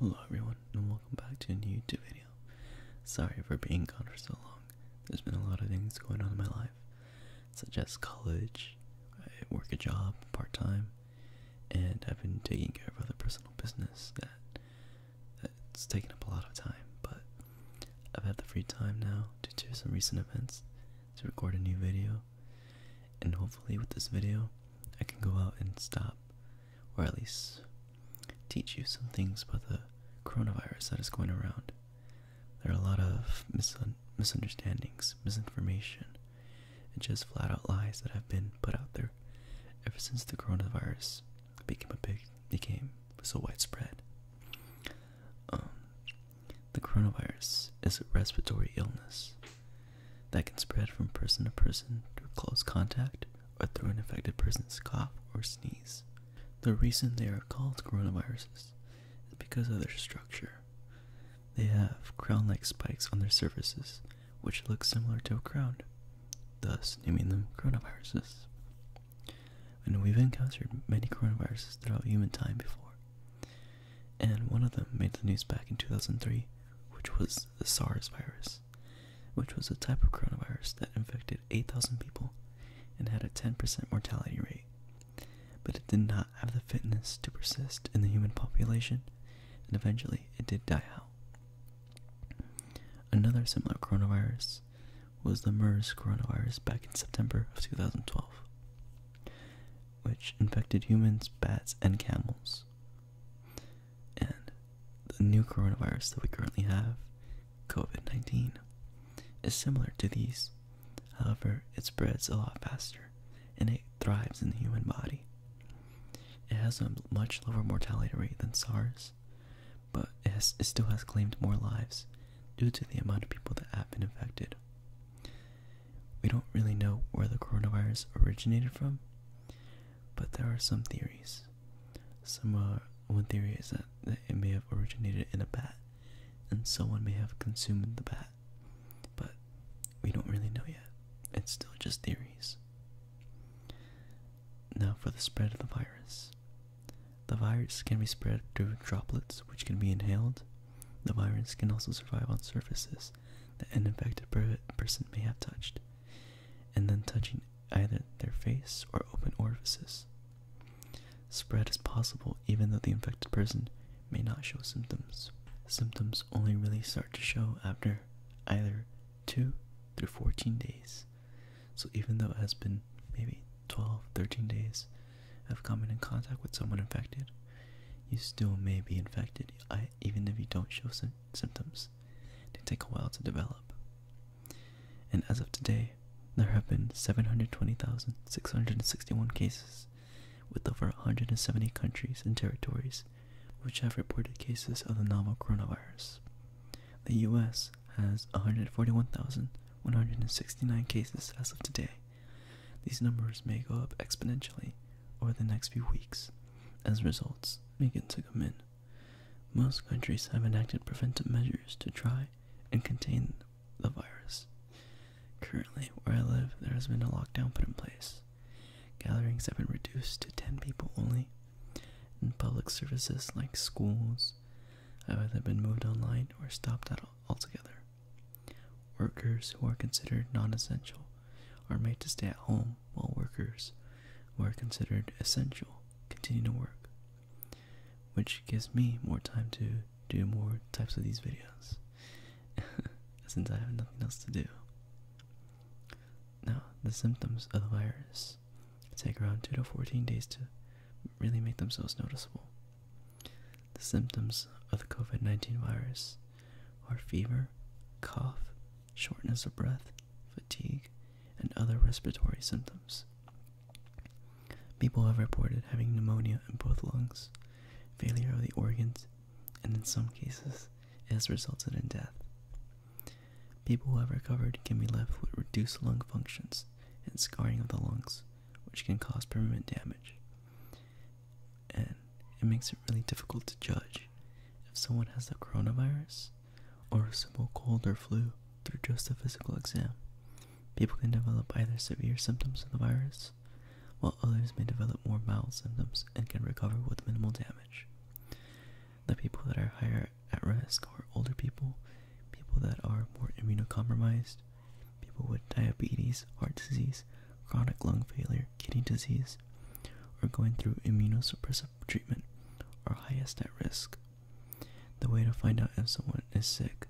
Hello everyone and welcome back to a new YouTube video. Sorry for being gone for so long. There's been a lot of things going on in my life, such as college, I work a job part-time, and I've been taking care of other personal business that that's taken up a lot of time, but I've had the free time now due to some recent events, to record a new video, and hopefully with this video I can go out and stop or at least teach you some things about the coronavirus that is going around. There are a lot of misunderstandings, misinformation, and just flat out lies that have been put out there ever since the coronavirus became a big became so widespread. Um, the coronavirus is a respiratory illness that can spread from person to person through close contact or through an infected person's cough or sneeze. The reason they are called coronaviruses is because of their structure. They have crown like spikes on their surfaces, which look similar to a crown, thus naming them coronaviruses. And we've encountered many coronaviruses throughout human time before. And one of them made the news back in 2003, which was the SARS virus which was a type of coronavirus that infected 8,000 people and had a 10% mortality rate. But it did not have the fitness to persist in the human population, and eventually it did die out. Another similar coronavirus was the MERS coronavirus back in September of 2012, which infected humans, bats, and camels. And the new coronavirus that we currently have, COVID 19, is similar to these. However, it spreads a lot faster and it thrives in the human body. It has a much lower mortality rate than SARS, but it, still has claimed more lives due to the amount of people that have been infected. We don't really know where the coronavirus originated from, but there are some theories. Some uh, one theory is that it may have originated in a bat, and someone may have consumed the bat, but we don't really know yet. It's still just theories. Now for the spread of the virus. The virus can be spread through droplets, which can be inhaled. The virus can also survive on surfaces that an infected person may have touched and then touching either their face or open orifices. Spread is possible even though the infected person may not show symptoms. Symptoms only really start to show after either 2 through 14 days. So even though it has been maybe 12, 13 days of coming in contact with someone infected, you still may be infected even if you don't show symptoms. They take a while to develop. And as of today, there have been 720,661 cases, with over 170 countries and territories which have reported cases of the novel coronavirus. The US has 141,169 cases as of today. These numbers may go up exponentially over the next few weeks as results begin to come in. Most countries have enacted preventive measures to try and contain the virus. Currently, where I live, there has been a lockdown put in place. Gatherings have been reduced to 10 people only, and public services like schools have either been moved online or stopped altogether. Workers who are considered non essential are made to stay at home while workers who are considered essential continue to work, which gives me more time to do more types of these videos since I have nothing else to do. Now, the symptoms of the virus take around 2 to 14 days to really make themselves noticeable. The symptoms of the COVID 19 virus are fever, cough, shortness of breath, fatigue, and other respiratory symptoms. People have reported having pneumonia in both lungs, failure of the organs, and in some cases, it has resulted in death. People who have recovered can be left with reduced lung functions and scarring of the lungs, which can cause permanent damage and it makes it really difficult to judge if someone has the coronavirus or a simple cold or flu through just a physical exam. People can develop either severe symptoms of the virus, while others may develop more mild symptoms and can recover with minimal damage. The people that are higher at risk are older people, people that are more immunocompromised, people with diabetes, heart disease, chronic lung failure, kidney disease, disease, or going through immunosuppressive treatment are highest at risk. The way to find out if someone is sick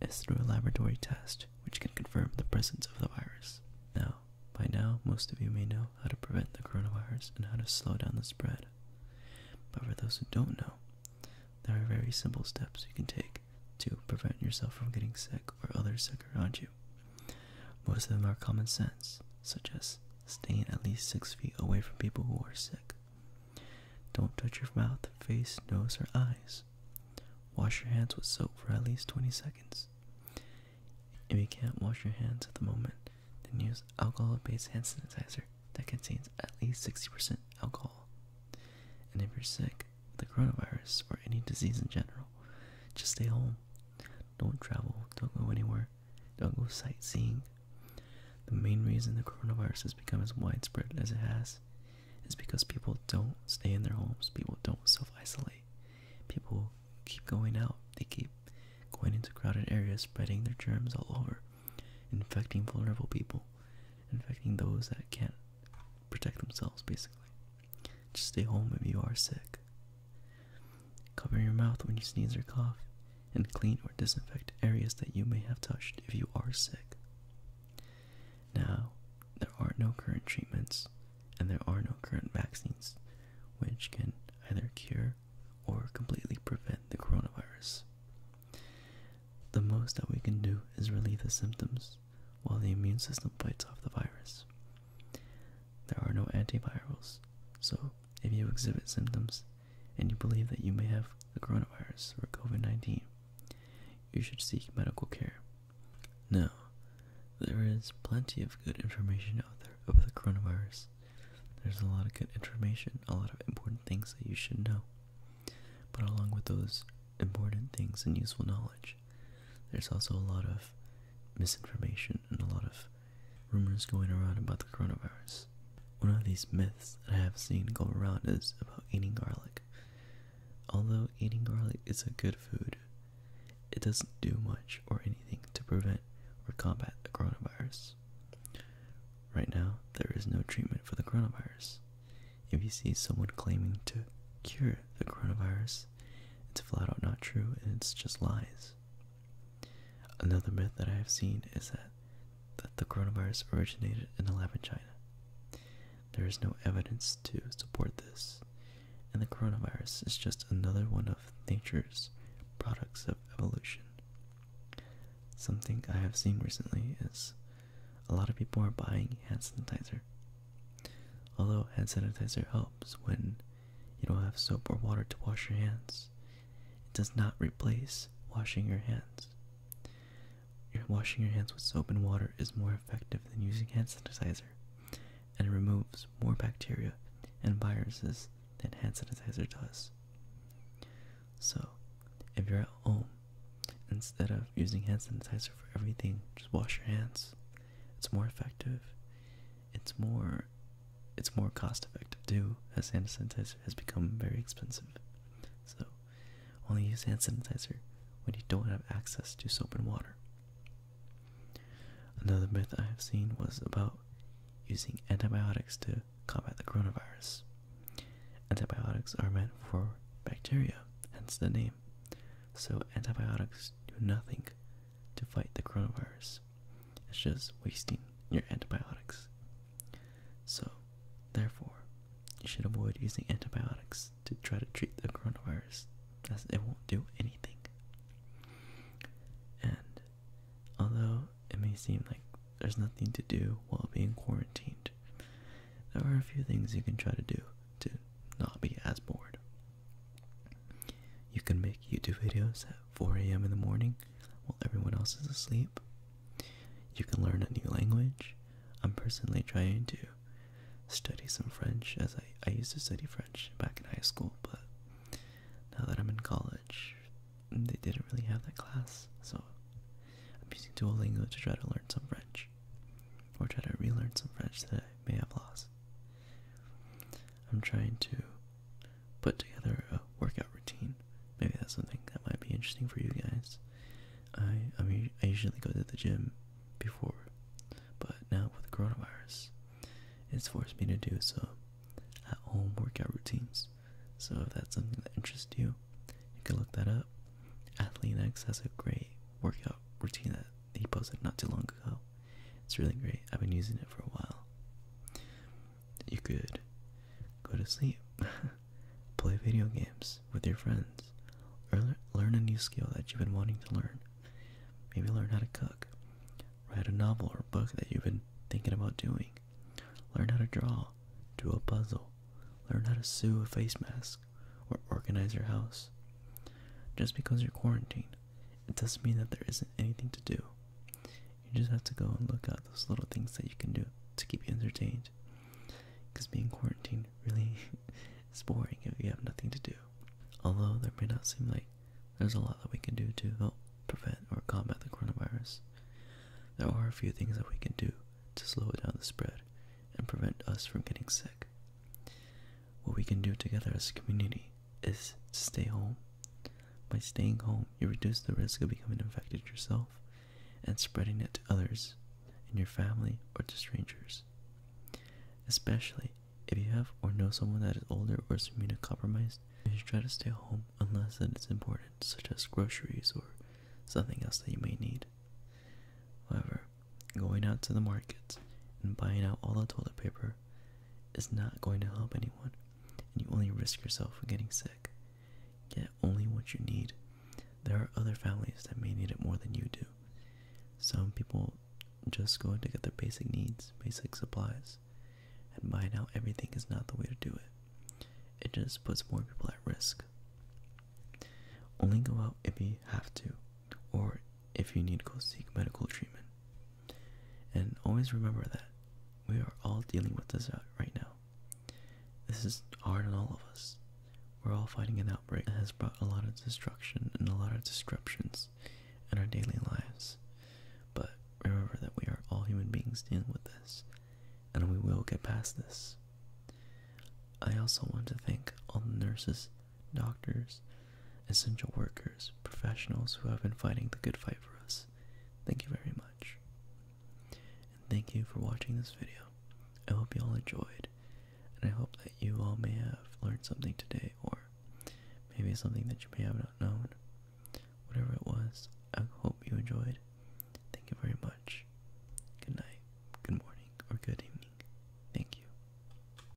is through a laboratory test which can confirm the presence of the virus. Now, by now, most of you may know how to prevent the coronavirus and how to slow down the spread. But for those who don't know, there are very simple steps you can take to prevent yourself from getting sick or others sick around you. Most of them are common sense, such as staying at least six feet away from people who are sick. Don't touch your mouth, face, nose, or eyes. Wash your hands with soap for at least 20 seconds. If you can't wash your hands at the moment, then use alcohol based hand sanitizer that contains at least 60% alcohol. And if you're sick, with the coronavirus, or any disease in general, just stay home. Don't travel, don't go anywhere, don't go sightseeing. The main reason the coronavirus has become as widespread as it has is because people don't stay in their homes, people don't self isolate, people keep going out, they keep going into crowded areas, spreading their germs all over, infecting vulnerable people, infecting those that can't protect themselves, basically. Just stay home if you are sick. Cover your mouth when you sneeze or cough, and clean or disinfect areas that you may have touched if you are sick. Now, there are no current treatments, and there are no current vaccines, which can either cure or completely prevent the coronavirus. The most that we can do is relieve the symptoms while the immune system fights off the virus. There are no antivirals, so if you exhibit symptoms and you believe that you may have the coronavirus or COVID 19, you should seek medical care. Now, there is plenty of good information out there about the coronavirus. There's a lot of good information, a lot of important things that you should know. But along with those important things and useful knowledge, there's also a lot of misinformation and a lot of rumors going around about the coronavirus. One of these myths that I have seen go around is about eating garlic. Although eating garlic is a good food, it doesn't do much or anything to prevent or combat the coronavirus. Right now, there is no treatment for the coronavirus. If you see someone claiming to cure it the coronavirus. It's flat out not true and it's just lies. Another myth that I have seen is that that the coronavirus originated in a lab in China. There is no evidence to support this, and the coronavirus is just another one of nature's products of evolution. Something I have seen recently is a lot of people are buying hand sanitizer. Although hand sanitizer helps when you don't have soap or water to wash your hands. It does not replace washing your hands. Washing your hands with soap and water is more effective than using hand sanitizer and removes more bacteria and viruses than hand sanitizer does. So, if you're at home, instead of using hand sanitizer for everything, just wash your hands. It's more effective it's more it's more cost effective too as hand sanitizer has become very expensive so only use hand sanitizer when you don't have access to soap and water another myth i have seen was about using antibiotics to combat the coronavirus antibiotics are meant for bacteria hence the name so antibiotics do nothing to fight the coronavirus. It's just wasting your antibiotics. So, therefore, you should avoid using antibiotics to try to treat the coronavirus, as it won't do anything. And although it may seem like there's nothing to do while being quarantined, there are a few things you can try to do to not be as bored. You can make YouTube videos at 4 a.m. in the morning while everyone else is asleep. You can learn a new language. I'm personally trying to study some French as I, used to study French back in high school, but now that I'm in college, they didn't really have that class, so I'm using Duolingo to try to learn some French or try to relearn some French that I may have lost. I'm trying to put together a workout routine. Maybe that's something that might be interesting for you guys. I I mean I usually go to the gym before, but now with the coronavirus, it's forced me to do so at home workout routines. So if that's something that interests you, you can look that up. AthleanX has a great workout routine that he posted not too long ago. It's really great. I've been using it for a while. You could go to sleep, play video games with your friends, or learn a new skill that you've been wanting to learn. Maybe learn how to cook, write a novel or book that you've been thinking about doing, learn how to draw, do a puzzle, learn how to sew a face mask, or organize your house. Just because you're quarantined it doesn't mean that there isn't anything to do. You just have to go and look at those little things that you can do to keep you entertained. Because being quarantined really is boring if you have nothing to do. Although there may not seem like there's a lot that we can do to help prevent or combat the coronavirus, there are a few things that we can do to slow down the spread and prevent us from getting sick. What we can do together as a community is stay home. By staying home, you reduce the risk of becoming infected yourself and spreading it to others in your family or to strangers. Especially if you have or know someone that is older or is immunocompromised, you should try to stay home unless it is important, such as groceries or something else that you may need. However, going out to the market and buying out all the toilet paper over is not going to help anyone, and you only risk yourself from getting sick. Get only what you need. There are other families that may need it more than you do. Some people just go to get their basic needs, basic supplies, and buying out everything is not the way to do it. It just puts more people at risk. Only go out if you have to or if you need to go seek medical treatment. And always remember that we are all dealing with this right now. This is hard on all of us. We're all fighting an outbreak that has brought a lot of destruction and a lot of disruptions in our daily lives. But remember that we are all human beings dealing with this, and we will get past this. I also want to thank all the nurses doctors, essential workers, professionals who have been fighting the good fight for us. Thank you very much. And thank you for watching this video. I hope you all enjoyed, and I hope that you all may have learned something today, or maybe something that you may have not known. Whatever it was, I hope you enjoyed. Thank you very much. Good night, good morning, or good evening. Thank you.